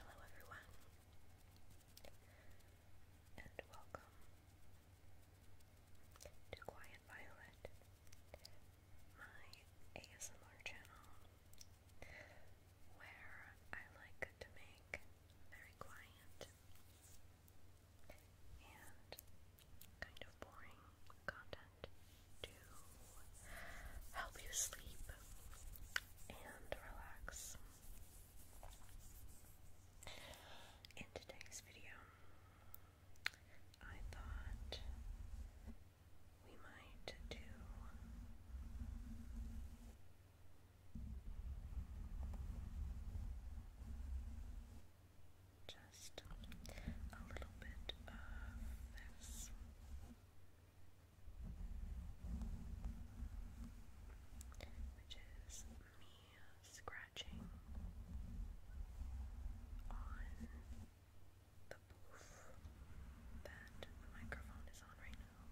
Hello, everyone, and welcome to Quiet Violet, my ASMR channel, where I like to make very quiet and kind of boring content to help you sleep and relax. In today's video, I thought we might do just a little bit of this which is me scratching on the booth that the microphone is on right now.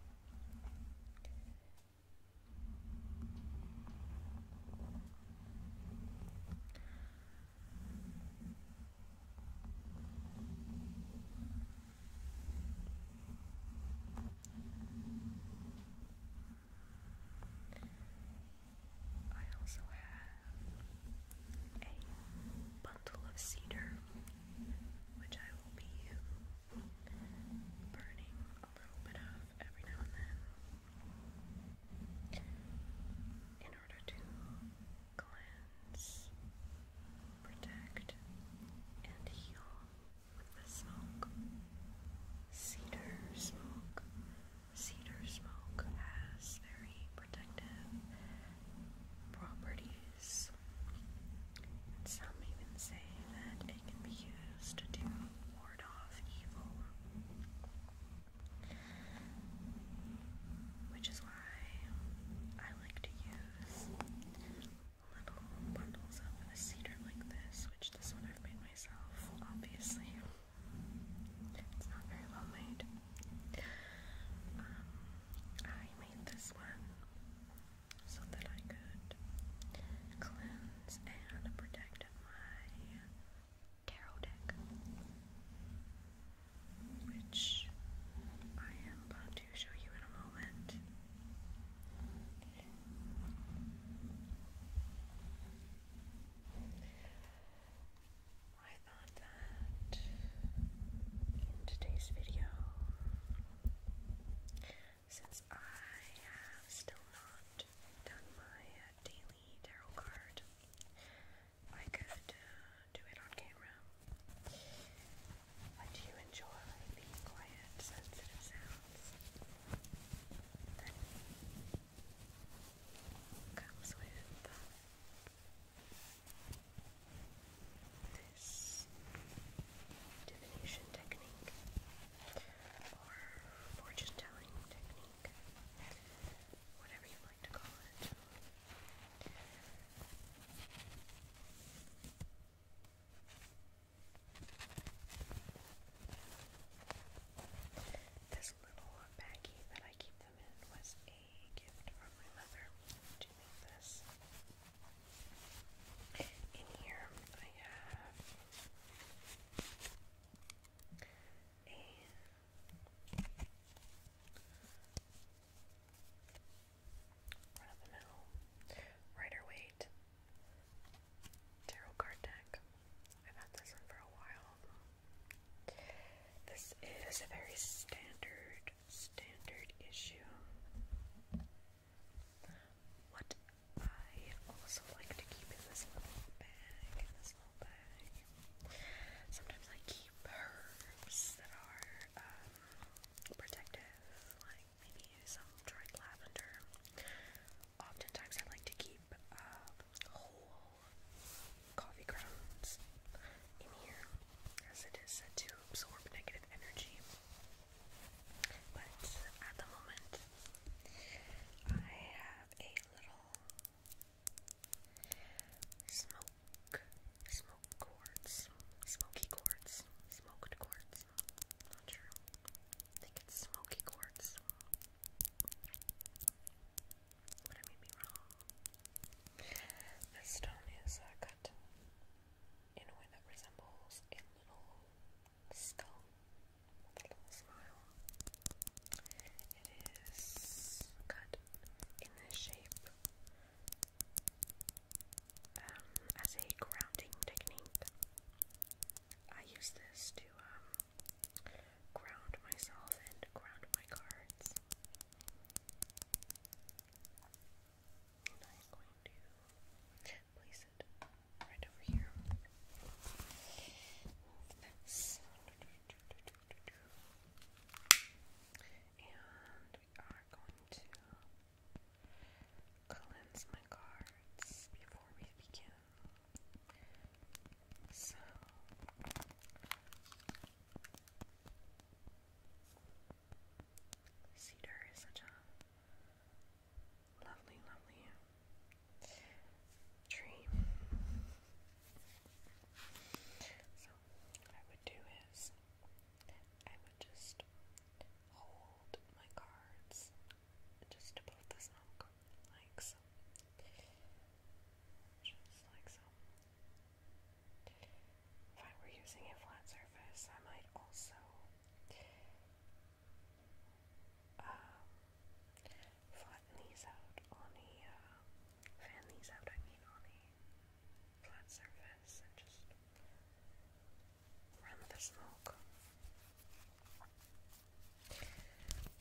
I also have a bundle of cedar, which I will be burning a little bit of every now and then in order to cleanse, protect, and heal with the smoke. Cedar smoke. Cedar smoke has very protective properties. some even say that it can be used to ward off evil. Which is why I like to use little bundles of a cedar like this, which this one I've made myself, obviously. It's not very well made. Um, I made this one so that I could cleanse and protect my tarot deck, which I am have to show you in a moment. I thought that in today's video, since I have still not done my uh, daily tarot card, I could uh, do it on camera. do you enjoy these quiet, sensitive sounds that comes with this divination technique or fortune telling technique, whatever you like to call it? This little baggie that I keep them in was a gift from my mother to make this. In here I have a Right up the middle. Rider Waite. Tarot card deck. I've had this one for a while. This is a very standard, standard issue. What I also like to keep in this little bag, in this little bag. Sometimes I keep herbs that are um, protected like maybe some dried lavender. Oftentimes, I like to keep uh, whole coffee grounds in here as it is said to absorb negative energy. But at the moment, I have a little smoke quartz, smoky quartz, smoked quartz. Not sure. I think it's smoky quartz. But I may be wrong. This stone is uh, cut in a way that resembles a little skull a little smile. It is cut in the shape um, as a grounding technique. I use this to um, ground myself and ground my cards. And I'm going to place it right over here. And we are going to cleanse my cards before we begin. So cedar is such a lovely, lovely tree. So what I would do is I would just hold my cards just above the snook, like so. Just like so. If I were using a flat surface, I might also um, flatten these out on the uh, fan these out, I mean, on a flat surface and just run the smoke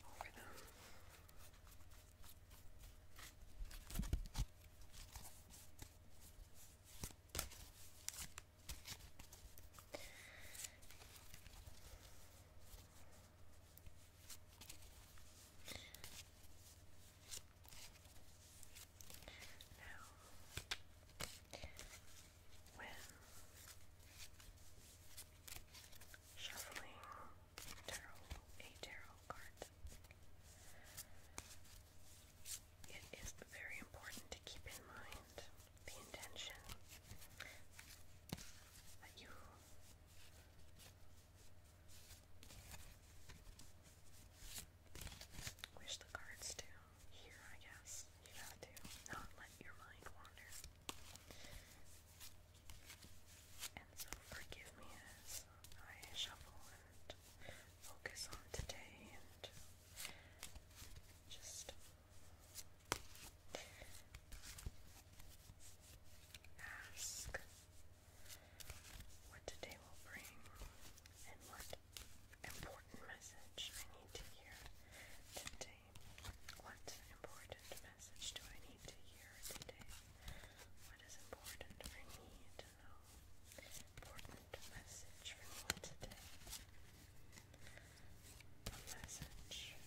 over them. Now, shuffling a tarot card, it is very important to keep in mind the intention that you Wish the cards do. Here, I guess. You have to not let your mind wander. And so forgive me as I shuffle and focus on today and just ask what today will bring and what important message I need to hear today? What important message do I need to hear today? What is important for me to know? Important message for me today. A message.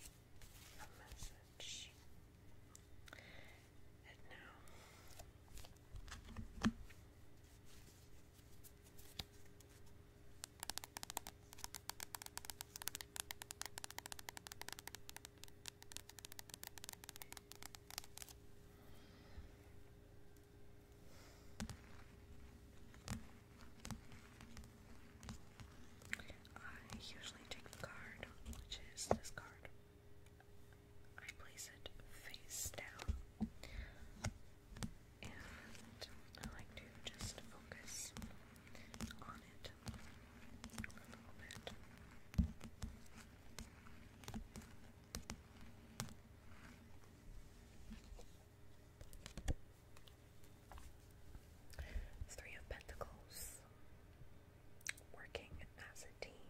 A message. And now, I usually take the card, which is this card. I place it face down. And I like to just focus on it a little bit. Three of Pentacles working as a team.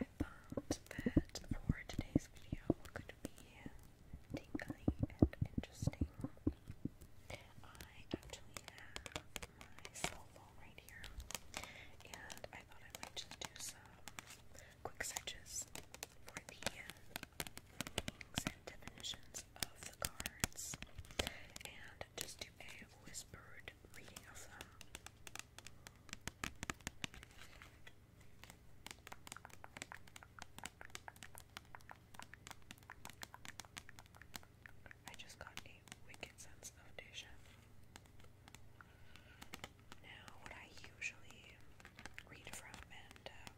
I thought that for today's video could be tingly and interesting. I actually have my cell phone right here, and I thought I might just do some quick searches for the meanings and definitions of the cards, and just do a whispered reading of them. I just got a wicked sense of déjà Now, what I usually read from and um,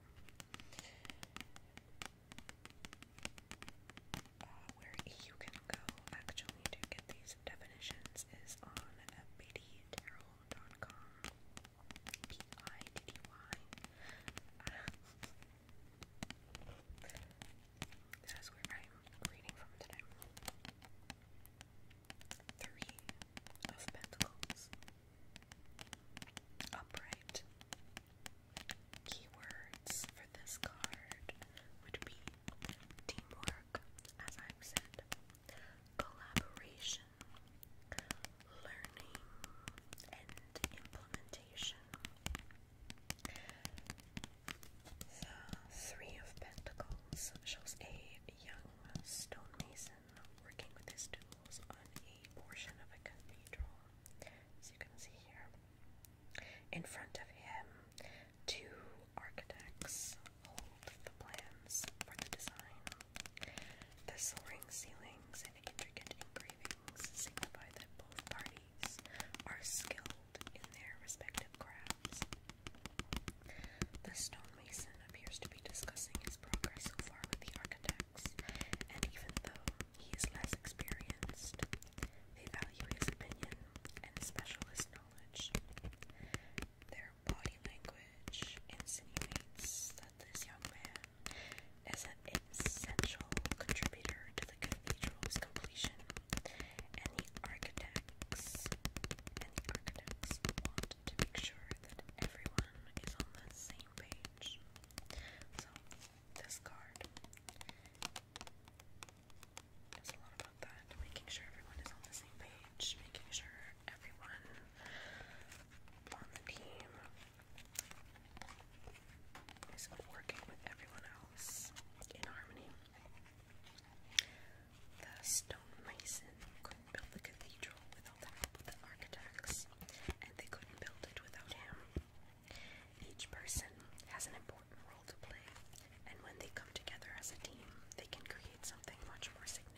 uh, where you can go actually to get these definitions is on Biddy Terrell gmail.com. P I D D Y. that is where I'm reading from today. Three of Pentacles. Upright. Keywords for this card would be teamwork, as I've said, collaboration, learning, and implementation. The Three of Pentacles shows a young stonemason working with his tools on a portion of a cathedral, as you can see here. In front of him, two architects hold the plans for the design. The soaring ceilings and intricate engravings signify that both parties are skilled in their respective crafts. The stonemason appears to be discussing his progress so far with the architects, and even though he is less experienced, they value his opinion and specialist knowledge. Their body language insinuates that this young man is an essential contributor to the cathedral's completion, and the architects and the architects want to make sure that everyone is on the same page. So this card has a lot of that, making sure everyone is on the same page, making sure everyone on the team is working with everyone else in harmony. The stonemason couldn't build the cathedral without the architects, and they couldn't build it without him. Each person has an important role to play, and when they come together as a team, they can create something much more significant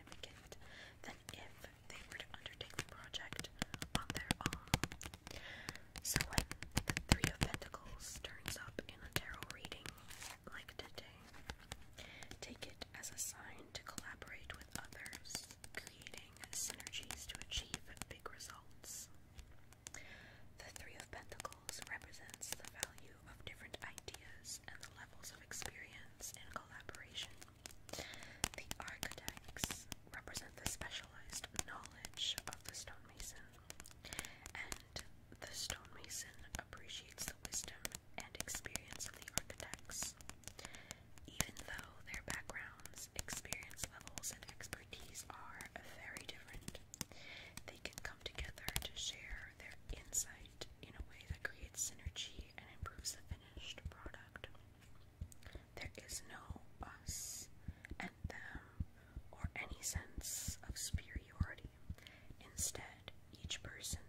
than if they were to undertake the project on their own. So when the Three of Pentacles turns up in a tarot reading like today, take it as a sign to collaborate with others, creating synergies to achieve big results. The Three of Pentacles represents the value of different ideas and the levels of experience in collaboration. The architects represent the specialized knowledge of the stonemason, and the stonemason appreciates the wisdom and experience of the architects. Even though their backgrounds, experience levels, and expertise are very different, they can come together to share their insight in a way that creates synergy and improves the finished product. There is no us and them or any sense of superiority. Instead, each person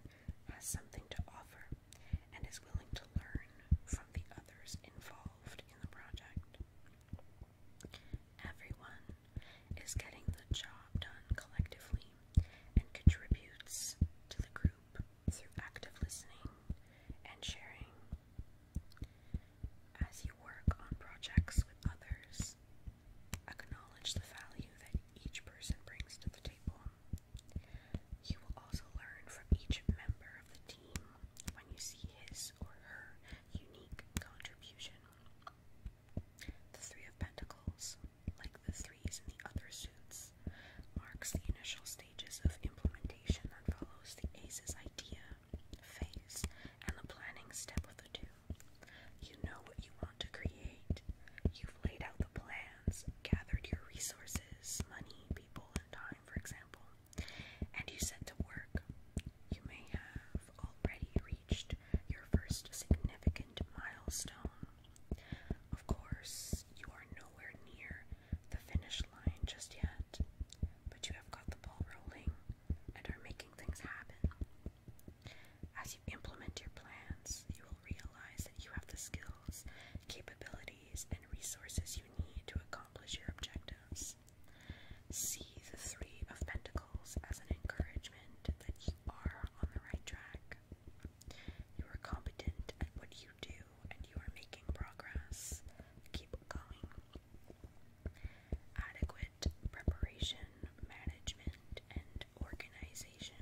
has something to offer and is willing to learn from the others involved in the project. Everyone is getting the job done collectively and contributes to the group through active listening and sharing. As you work on projects with others, acknowledge the value that each person brings to the table. You will also learn from each member of the team when you see his or her unique contribution. The Three of Pentacles like the threes in the other suits, marks the initial stages of implementation that follows the ACE's idea, phase, and the planning step of the two. You know what you want to create. You've laid out the plans, gathered your resources, money, people, and time, for example, and you set to work. You may have already reached your first significant milestone. Of course, you are nowhere near the finish line just yet, but you have got the ball rolling and are making things happen. As you implement your plans, you will realize that you have the skills, capabilities, and resources you need to accomplish your objectives. See the Three of Pentacles as an encouragement that you are on the right track. You are competent at what you do and you are making progress. Keep going. Adequate preparation, management, and organization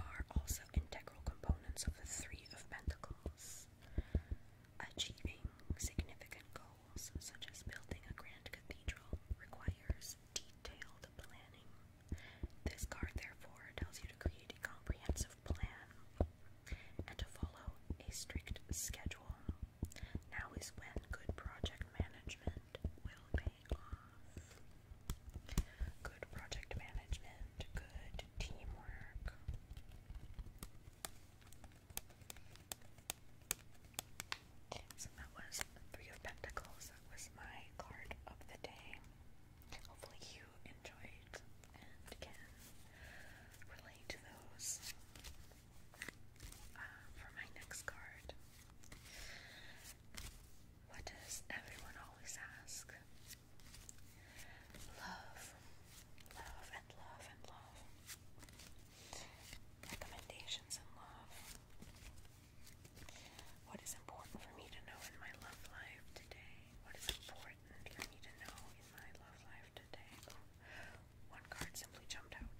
are also integral components of the Three of Pentacles. Achieving significant goals, such as building a grand cathedral, requires detailed planning. This card, therefore, tells you to create a comprehensive plan and to follow a strict schedule. Now is when good project management will pay off. Good project management, good teamwork. So that was Three of Pentacles was my card of the day. Hopefully you enjoyed and can relate to those. Uh, for my next card, what does everyone always ask? Love, love, and love, and love. Recommendations and love. What is important for me to know in my love life today? What is important for me to know in my love life today? Oh, one card simply jumped out.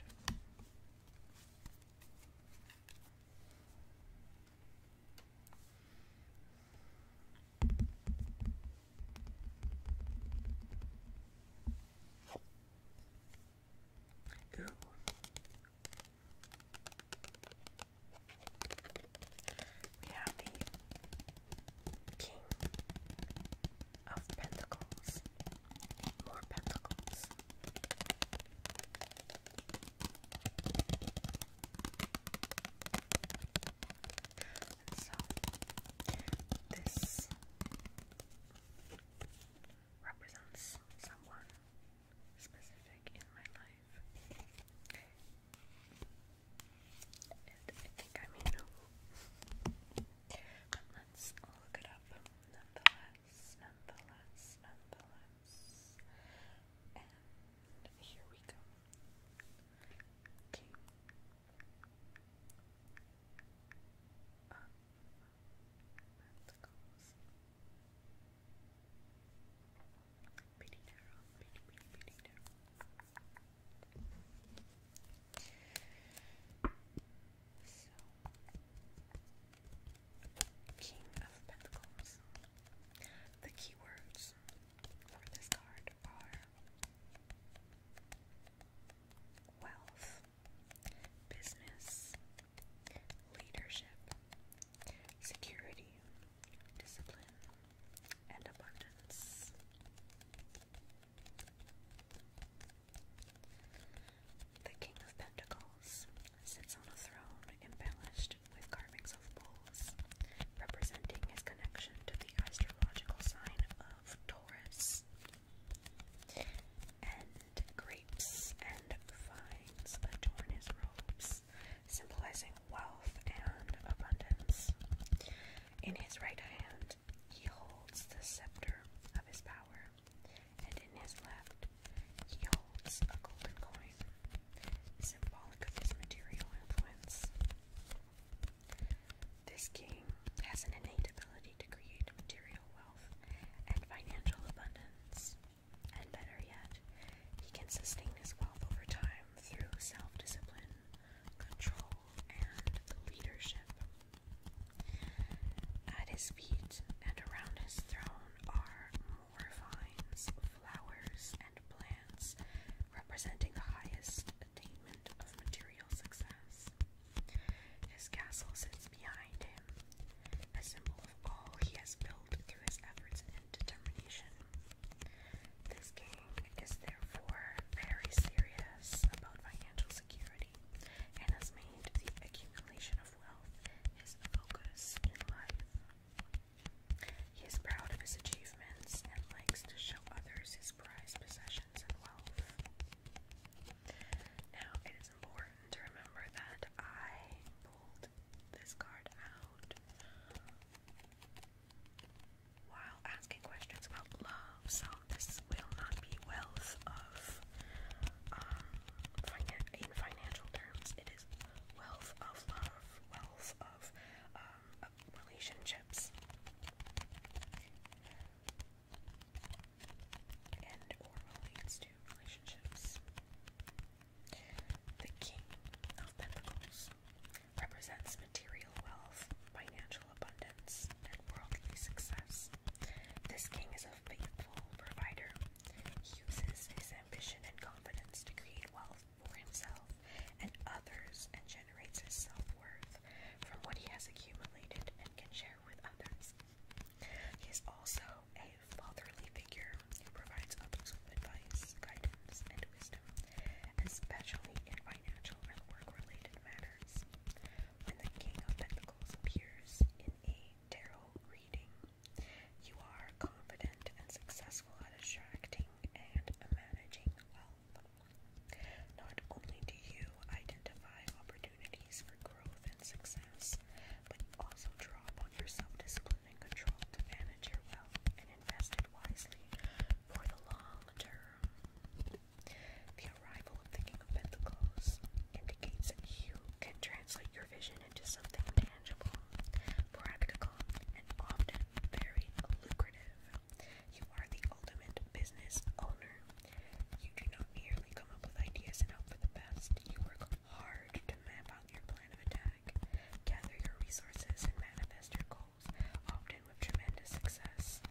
Go. We have the King of Pentacles. More Pentacles. so this represents someone specific in my life. And I think I may know. But let's look it up nonetheless, nonetheless, nonetheless. And here we go. King. Uh, Pentacles. Pretty narrow, King of Pentacles. The keywords for this card are wealth, business, leadership, security, discipline, and abundance. The King of Pentacles sits on a throne embellished with carvings of bulls, representing his connection to the astrological sign of Taurus. And grapes and vines adorn his robes, symbolizing wealth and abundance. In his right hand, he holds the scepter of his power, and in his left, he holds a golden coin, symbolic of his material influence. This king has an innate ability to create material wealth and financial abundance. And better yet, he can sustain his wealth over time through self discipline, control, and leadership. At his feet and around his throne are more vines, flowers, and plants representing the highest attainment of material success. His castle sits behind him, a symbol of all he has built through his efforts and determination. This gang is therefore very serious about financial security and has made the accumulation of wealth his focus in life. He is proud of his achievements and likes to show others his prized possessions and wealth. Now, it is important to remember that I pulled this card out while asking questions about love. So this will not be wealth of um in financial terms. It is wealth of love, wealth of um relationships. And or relates to relationships. The King of Pentacles represents material wealth, financial abundance, and worldly success. This king is a faithful provider. He uses his ambition and confidence to create wealth for himself and others and generates his self worth from what he has accumulated and can share with others. He is also a fatherly figure who provides others advice, guidance, and wisdom, especially in financial and work-related matters. When the King of Pentacles appears in a tarot reading, you are confident and successful at attracting and managing wealth. Not only do you identify opportunities for growth and success, but you also draw upon your self discipline and control to manage your wealth and invest wisely for the long term. The arrival of the King of Pentacles indicates you can translate your vision into something tangible, practical, and often very lucrative. You are the ultimate business owner. You do not merely come up with ideas and hope for the best, you work hard to map out your plan of attack, gather your resources, and manifest your goals, often with tremendous success.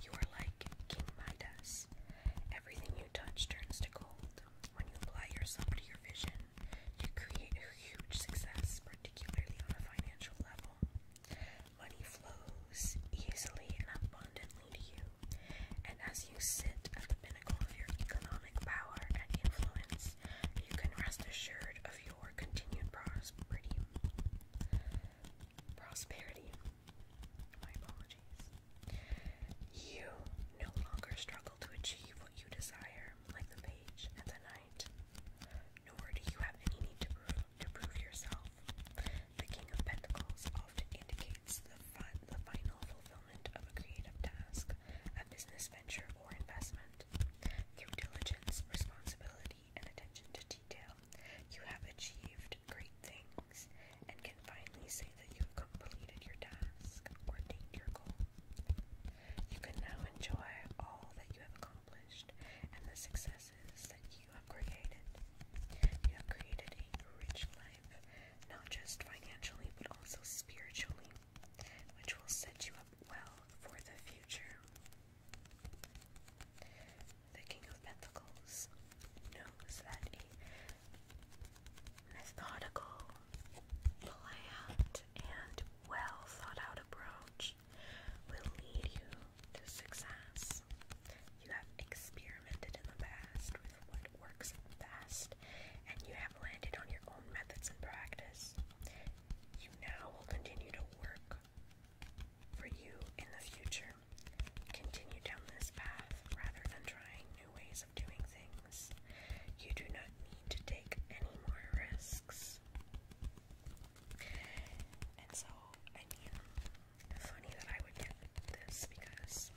You are like King Midas. Everything you touch turns to gold. When you apply yourself to your vision, you create a huge success, particularly on a financial level. Money flows easily and abundantly to you, and as you sit at the the pinnacle of your economic power and influence, you can rest assured of your continued prosperity. Prosperity. My apologies. You no longer struggle to achieve what you desire, like the page and the knight. Nor do you have any need to prove yourself. The King of Pentacles often indicates the final fulfillment of a creative task, a business venture, or investment. Through diligence, responsibility, and attention to detail, you have achieved great things and can finally say that you have completed your task or attained your goal. You can now enjoy all that you have accomplished and the successes that you have created. You have created a rich life, not just financially but also spiritually, which will set you up well for the future. The King of Pentacles knows that a methodical, planned, and well thought out approach will lead you to success. You have experimented in the past with what works best and you have landed on your own methods and practice. You now will continue to work for you in the future. Continue down this path rather than trying new ways of doing things. You do not need to take any more risks. And so, I mean, funny that I would get this because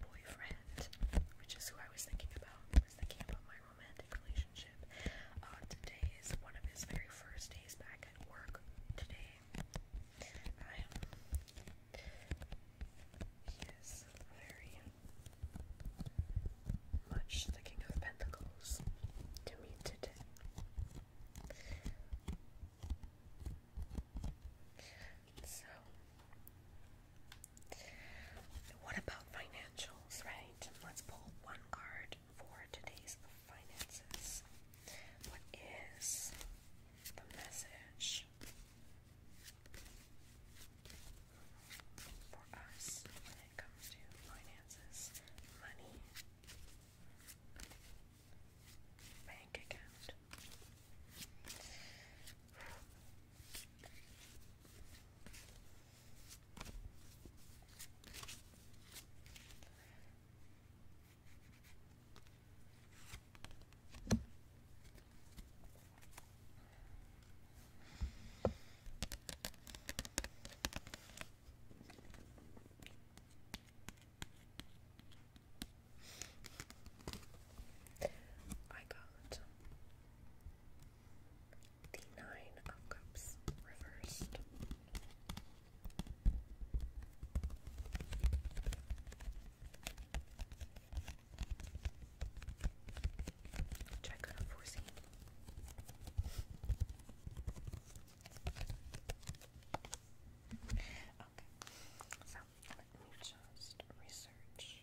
boyfriend, which is who I was thinking about, I was thinking about my romantic relationship. Uh, today is one of his very first days back at work. Today, He is very much the King of Pentacles to me today. So, what about financials, right? Let's pull one card for today's finances. What is the message for us when it comes to finances, money, bank account? I got the Nine of Cups reversed. Check out foreseen. Okay, so let me just research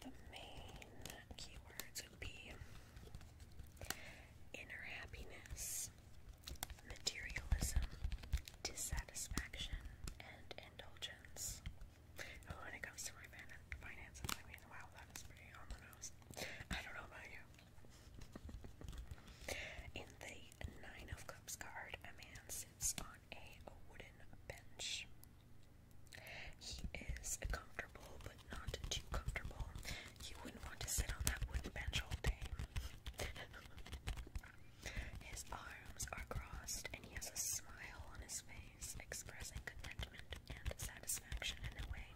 the main keywords would be inner happiness, materialism, dissatisfaction, and indulgence. Oh, when it comes to my finances, I mean, wow, that is pretty on the nose. I don't know about you. In the Nine of Cups card, a man sits on a wooden bench. He is comfortable, but not too comfortable. You wouldn't want to sit on that wooden bench all day. his arms are crossed, and he has a smile on his face, expressing contentment and satisfaction in a way.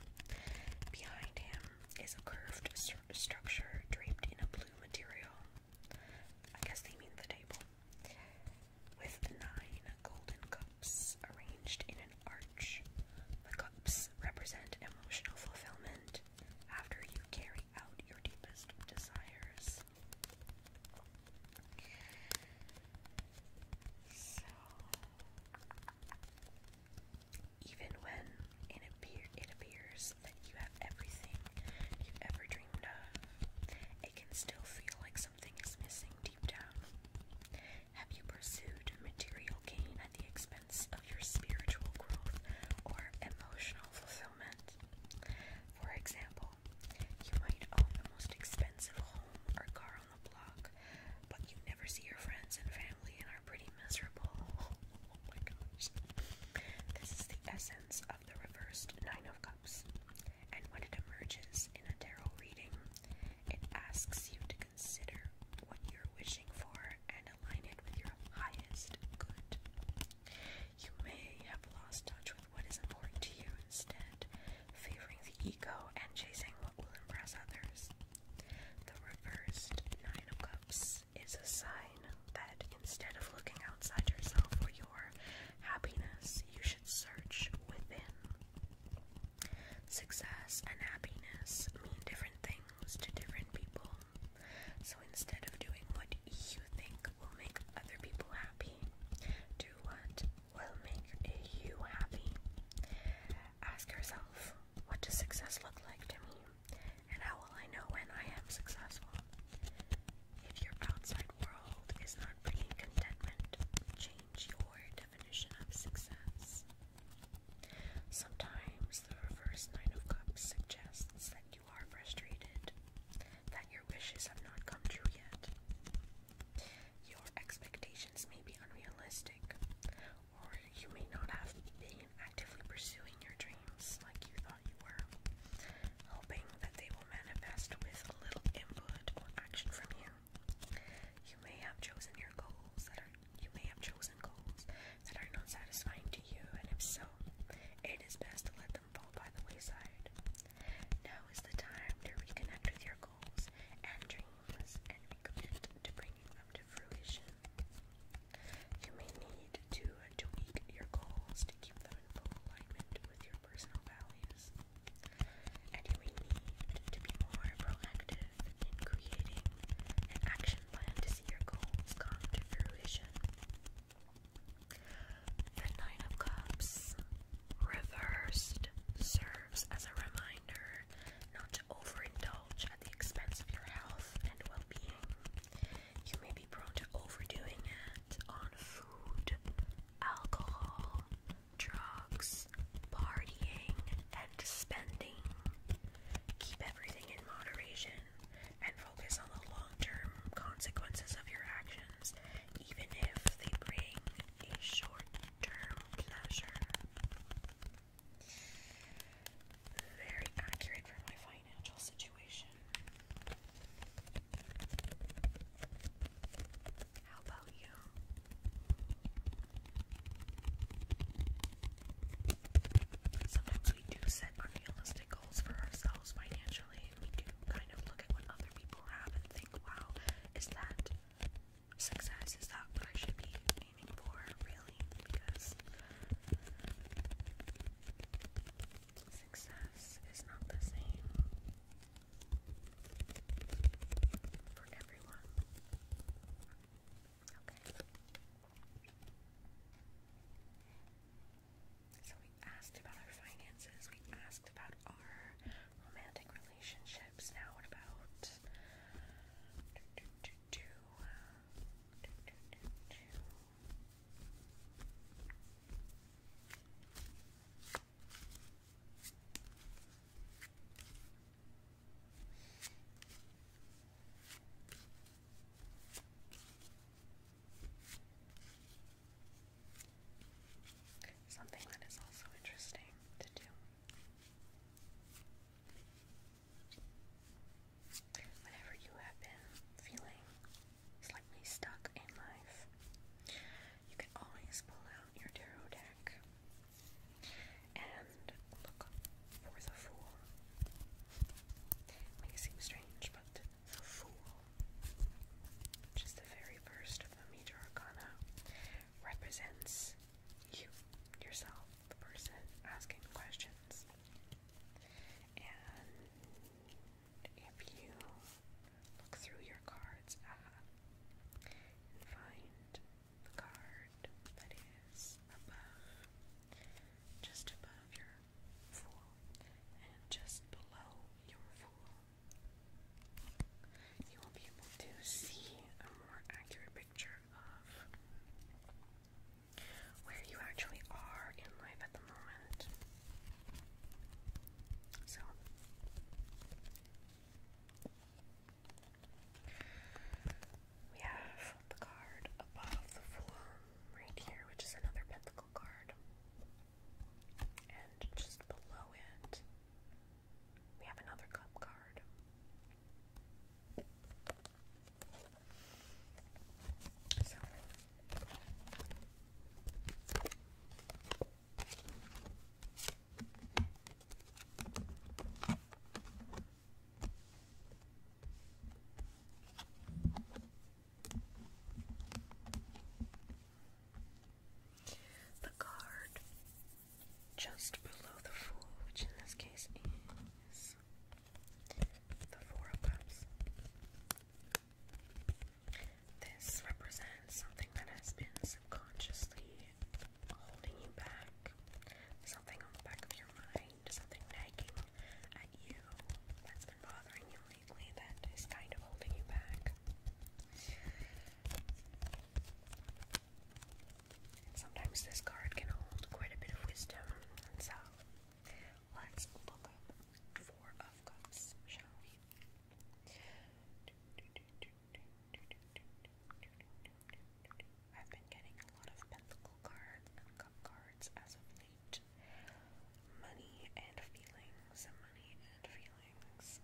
Behind him is a curved structure draped in a blue material. I guess they mean the table. With nine golden cups cups in an arch. The cups represent emotional fulfillment after you carry out your deepest desires. So, even when it, it appears that you have everything you've ever dreamed of, it can still feel like something is missing deep down. Have you pursued material gain at the expense of your spiritual growth or emotional fulfillment? For example, you might own the most expensive home or car on the block, but you never see your friends and family and are pretty miserable. Oh this is the essence of the reversed Nine of Cups. And when it emerges in a tarot reading, it asks you to consider what you're wishing for and align it with your highest good. You may have lost touch with what is important to you instead, favoring the ego and chasing what will impress others. The reversed Nine of Cups is a sign that instead of looking outside yourself for your happiness, you should search within. Success and happiness mean different things to different people. So instead of doing what you think will make other people happy, do what will make you happy. Ask yourself, what does success look like to me? And how will I know when I am successful? If your outside world is not bringing contentment, change your definition of success. Sometimes the reverse Nine of Cups suggests that you are frustrated, that your wishes have not come true yet. Your expectations may be unrealistic, or you may not have been actively pursuing your dreams like you thought you were, hoping that they will manifest with a little input or action from you. You may have chosen your goals that are you may have chosen goals that are not satisfying to you, and if so, it is best to let them fall by the wayside. Now is the time to reconnect with your goals and dreams and recommit to bringing them to fruition. You may need to tweak your goals to keep them in full alignment with your personal values and we need to be more proactive in creating an action plan to see your goals come to fruition. The Nine of Cups reversed serves as a reminder not to overindulge at the expense of your health and well being. You may be prone to overdoing it on food, alcohol, drugs, partying, and spending. Keep everything in moderation and focus on the long term consequences of your actions, even if they bring a short term pleasure. Very accurate for my financial situation. How about you? Sometimes we do set unrealistic goals for ourselves financially. We do kind of look at what other people have and think, wow, is that success? Is that what I should be aiming for, really? Because success is not the same for everyone. So we asked about our finances, we asked about our romantic relationships. Now what about Something that is also interesting to do. Whenever you have been feeling slightly stuck in life, you can always pull out your tarot deck and look for the fool. May seem strange, but the fool, which the very first of the major arcana, represents you, yourself, the person asking questions. And if you look through your cards, ah, and find the card that is above, just above your fool, and just below your fool. You will be able to see a more accurate picture of where you actually are in life at the moment. So, we have the card above the form right here, which is another pentacle card. And just below it, we have another cup card. The card just below the Fool, which in this case is the Four of Cups. This represents something that has been subconsciously holding you back, something on the back of your mind, something nagging at you that's been bothering you lately that is kind of holding you back. sometimes this card can hold quite a bit of wisdom, so let's look up Four of Cups, shall we? I've been getting a lot of pencil cards and cup cards as of late. Money and feelings, money and feelings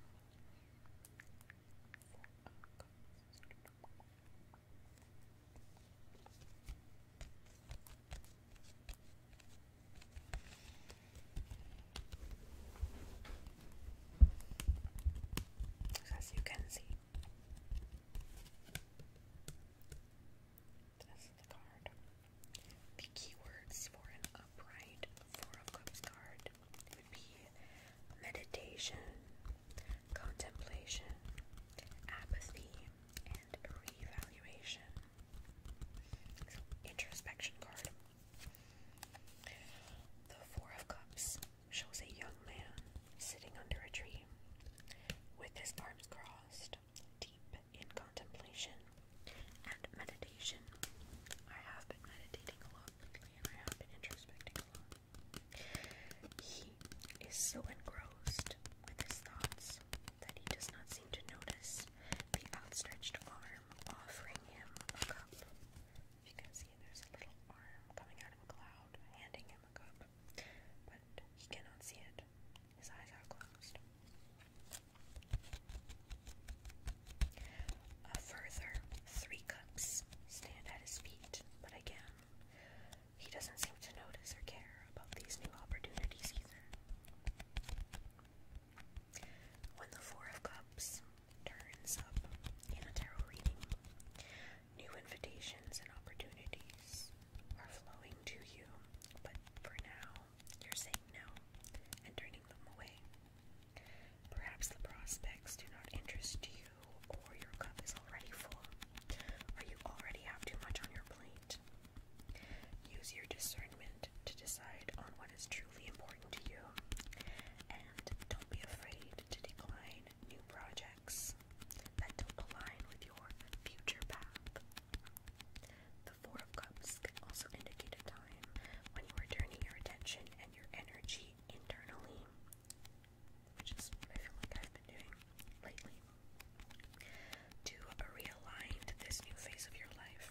as you can see. This card. The keywords for an upright Four of Cups card would be meditation, contemplation, apathy, and reevaluation. introspection card. The Four of Cups shows a young man sitting under a tree with his arms crossed, deep in contemplation and meditation. I have been meditating a lot lately and I have been introspecting a lot. He is so engrossed with his thoughts that he does not seem to notice the outstretched arm offering him a cup if you can see, there's a little arm coming out of a cloud, handing him a cup, but he cannot see it. His eyes are closed. A further three cups stand at his feet, but again, he doesn't seem to notice or care about these new opportunities either. When the Four of Cups turns up in a tarot reading. New invitations and opportunities are flowing to you, but for now, you're saying no and turning them away. Perhaps the prospects do not interest you, or your cup is already full, or you already have too much on your plate. Use your discernment to decide on what is truly important to you don't be afraid to decline new projects that don't align with your future path. The Four of Cups can also indicate a time when you are turning your attention and your energy internally, which is I feel like I've been doing lately, to realign this new phase of your life.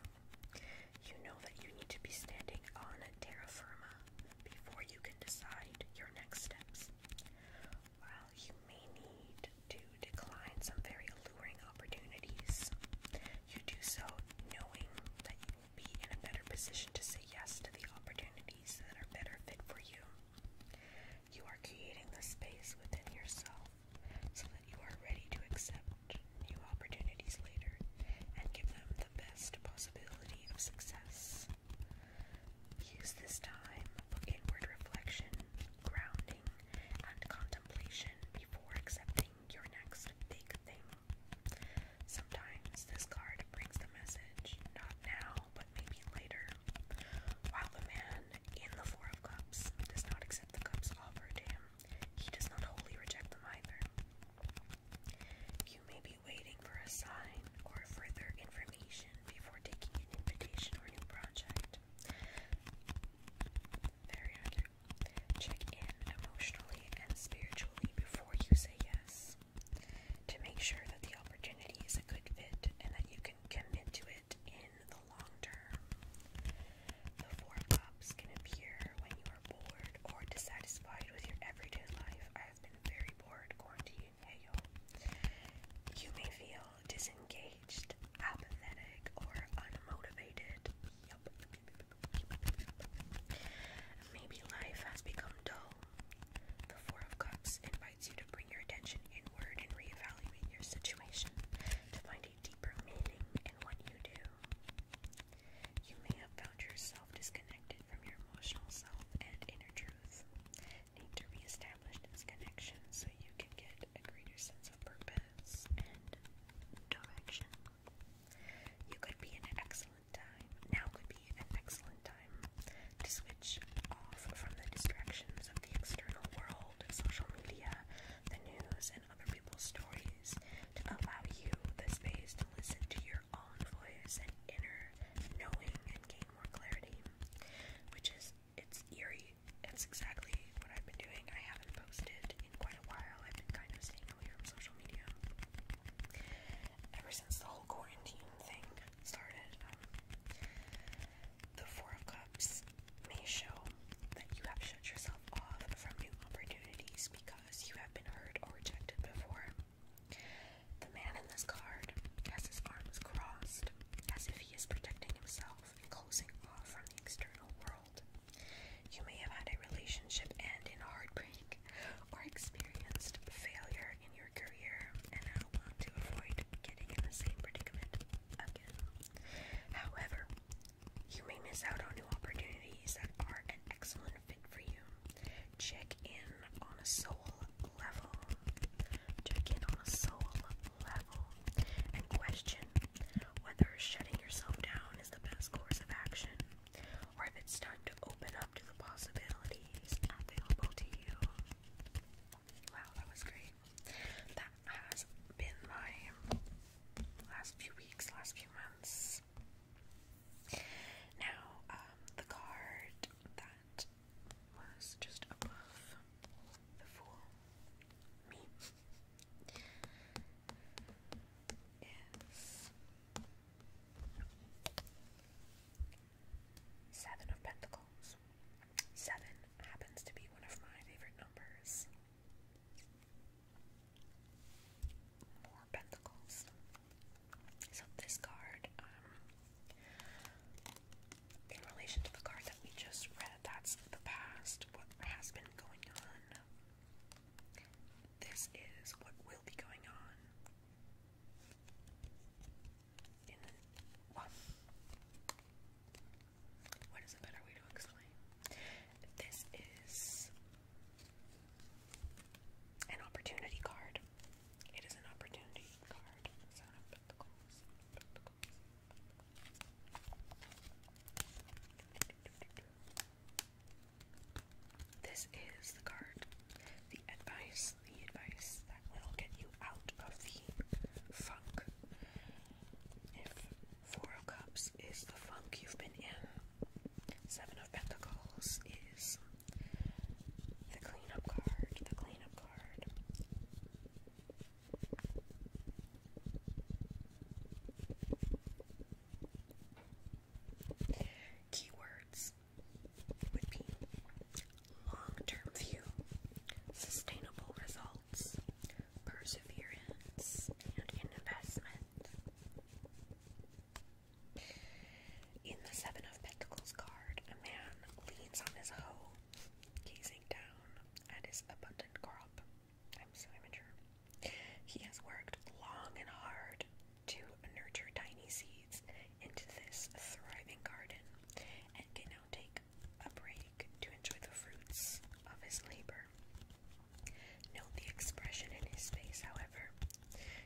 You know that you need to be standing on terra firma before you can decide your next steps. While you may need to decline some very alluring opportunities, you do so knowing that you will be in a better position to say yes to the opportunities that are better fit for you. You are creating the space within yourself so that you are ready to accept new opportunities later and give them the best possibility of success. Use this time for inward reflection, grounding, and contemplation before accepting your next big thing. Sometimes this card brings the message, not now, but maybe later. While the man in the Four of Cups does not accept the cups offered to him, he does not wholly reject them either. You may be waiting for a sign or further information before taking an invitation or new project. Very accurate. Check in emotionally and spiritually before you say yes. To make sure that the opportunity is a good fit and that you can commit to it in the long term. The Four Cups can appear when you are bored or dissatisfied with your everyday life, you may feel disengaged, apathetic, or unmotivated. Maybe life has become dull. The Four of Cups invites you to bring your attention inward and reevaluate your situation to find a deeper meaning in what you do. You may have found yourself disconnected from your emotional self and inner truth. Need to reestablish this connection so you can get a greater sense of purpose and direction. You could be an excellent time. Now could be an excellent time to switch off from the distractions of the external world, social media, the news, and other people's stories to allow you the space to listen to your inner envoys and inner knowing and gain more clarity, which is it's eerie. That's exactly what I've been doing. I haven't posted in quite a while. I've been kind of staying away from social media ever since the whole quarantine thing started. Um, the Four of Cups may show that you have shut yourself off from new opportunities because you have been hurt or rejected before. The man in this card has his arms crossed, as if he is protecting himself and closing off from the external world. You may have had a relationship end in heartbreak or experienced failure in your career and now want to avoid getting in the same predicament again. However, you may miss out on new opportunities that are an excellent fit for you. Check in on a soul level. Check in on a soul level and question whether shutting yourself down is the best course of action or if it's time to open up to the possibilities available to you. Wow, that was great. That has been my last few weeks, last few months. Now, um, the card that was just above the fool, is Seven of Pentacles. Seven happens to be one of my favorite numbers. More pentacles. So this card, um, in relation to the card that we just read, that's the past, what has been going on. This is what will be going on. In what is a better way to explain? This is an opportunity card. It is an opportunity card. Seven of Pentacles. This is the card, the advice, the advice that will get you out of the funk. If Four of Cups is the funk you've been in, Seven of Pentacles is the cleanup card, the cleanup card. Keywords would be long term view, sustainable results, perseverance, and investment. In the Seven of Pentacles card, a man leans on his hoe, gazing down at his abundant crop. I'm so immature. He has worked long and hard to nurture tiny seeds into this thriving garden and can now take a break to enjoy the fruits of his labor. Note the expression in his face, however.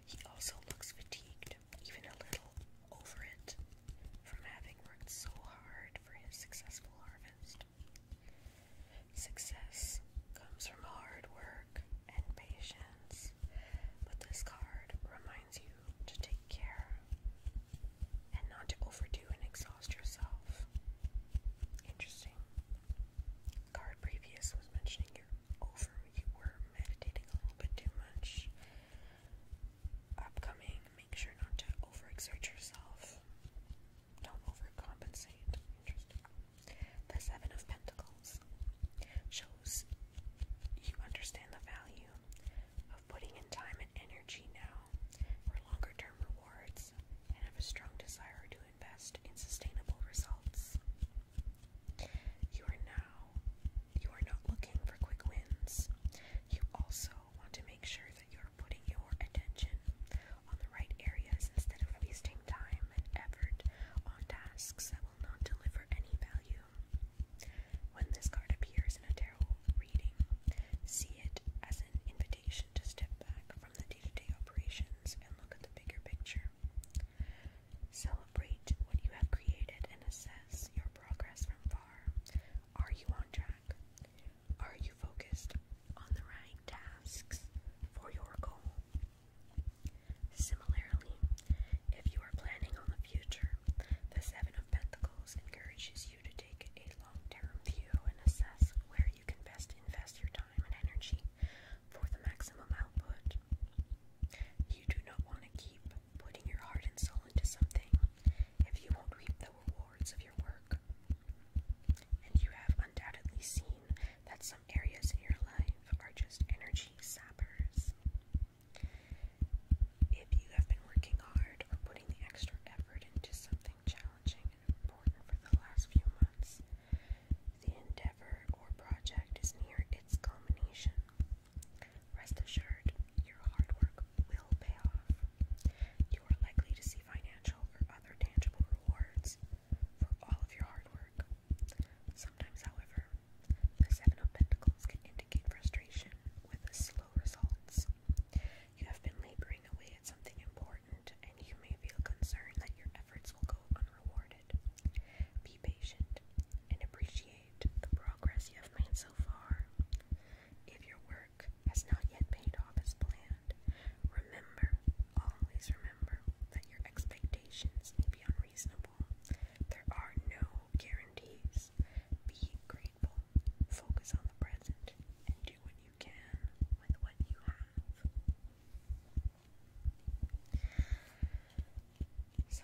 He also looks fatigued even a little, over it, from having worked so hard for his successful harvest. Success comes from hard work and patience, but this card reminds you to take care and not to overdo and exhaust yourself. Interesting. card previous was mentioning your over. You were meditating a little bit too much. Upcoming, make sure not to overexert yourself. Don't overcompensate. Interesting. The Seven of Pentacles shows you understand the value of putting in time and energy now for longer term rewards and have a strong desire to invest in sustainable results. You are now, you are not looking for quick wins. You also want to make sure that you are putting your attention on the right areas instead of wasting time and effort on tasks that will not deliver any value. When this card appears in a tarot reading, see it as an invitation to step back from the day to day operations and look at the bigger picture. Celebrate what you have created and assess your progress from far. Are you on track? Are you focused on the right tasks for your goal? Similarly, if you are planning on the future, the Seven of Pentacles encourages you to take a long term view and assess where you can best invest your time and energy for the maximum output mind. You do not want to keep putting your heart and soul into something if you won't reap the rewards of your work. And you have undoubtedly seen that some areas in your life are just energy sappers. If you have been working hard or putting the extra effort into something challenging and important for the last few months, the endeavor or project is near its culmination. Rest assured, your hard work will pay off. You are likely to see financial or other tangible rewards for all of your hard work. Sometimes, however, the Seven of Pentacles can indicate frustration with slow results. You have been laboring away at something important, and you may feel concerned that your efforts will go unrewarded. Be be patient and appreciate the progress you have made so far. If your work has not yet paid off as planned, remember, always remember, that your expectations may be unreasonable. There are no guarantees. Be grateful, focus on the present, and do what you can with what you have. So,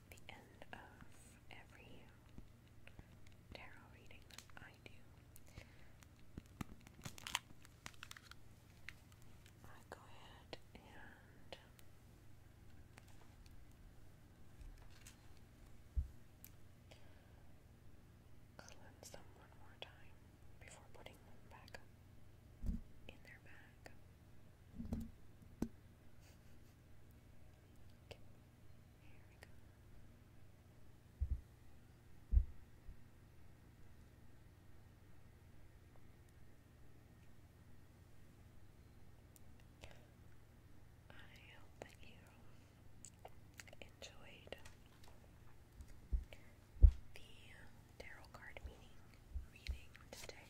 the end of every tarot reading that I do, I go ahead and cleanse them one more time before putting them back in their bag. Okay. I hope that you enjoyed the tarot card meaning reading today.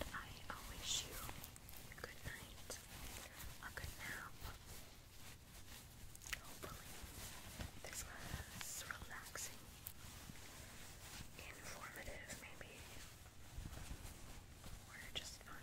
And I wish you a good night, a good nap. Hopefully, this was relaxing, informative, maybe, or just fun.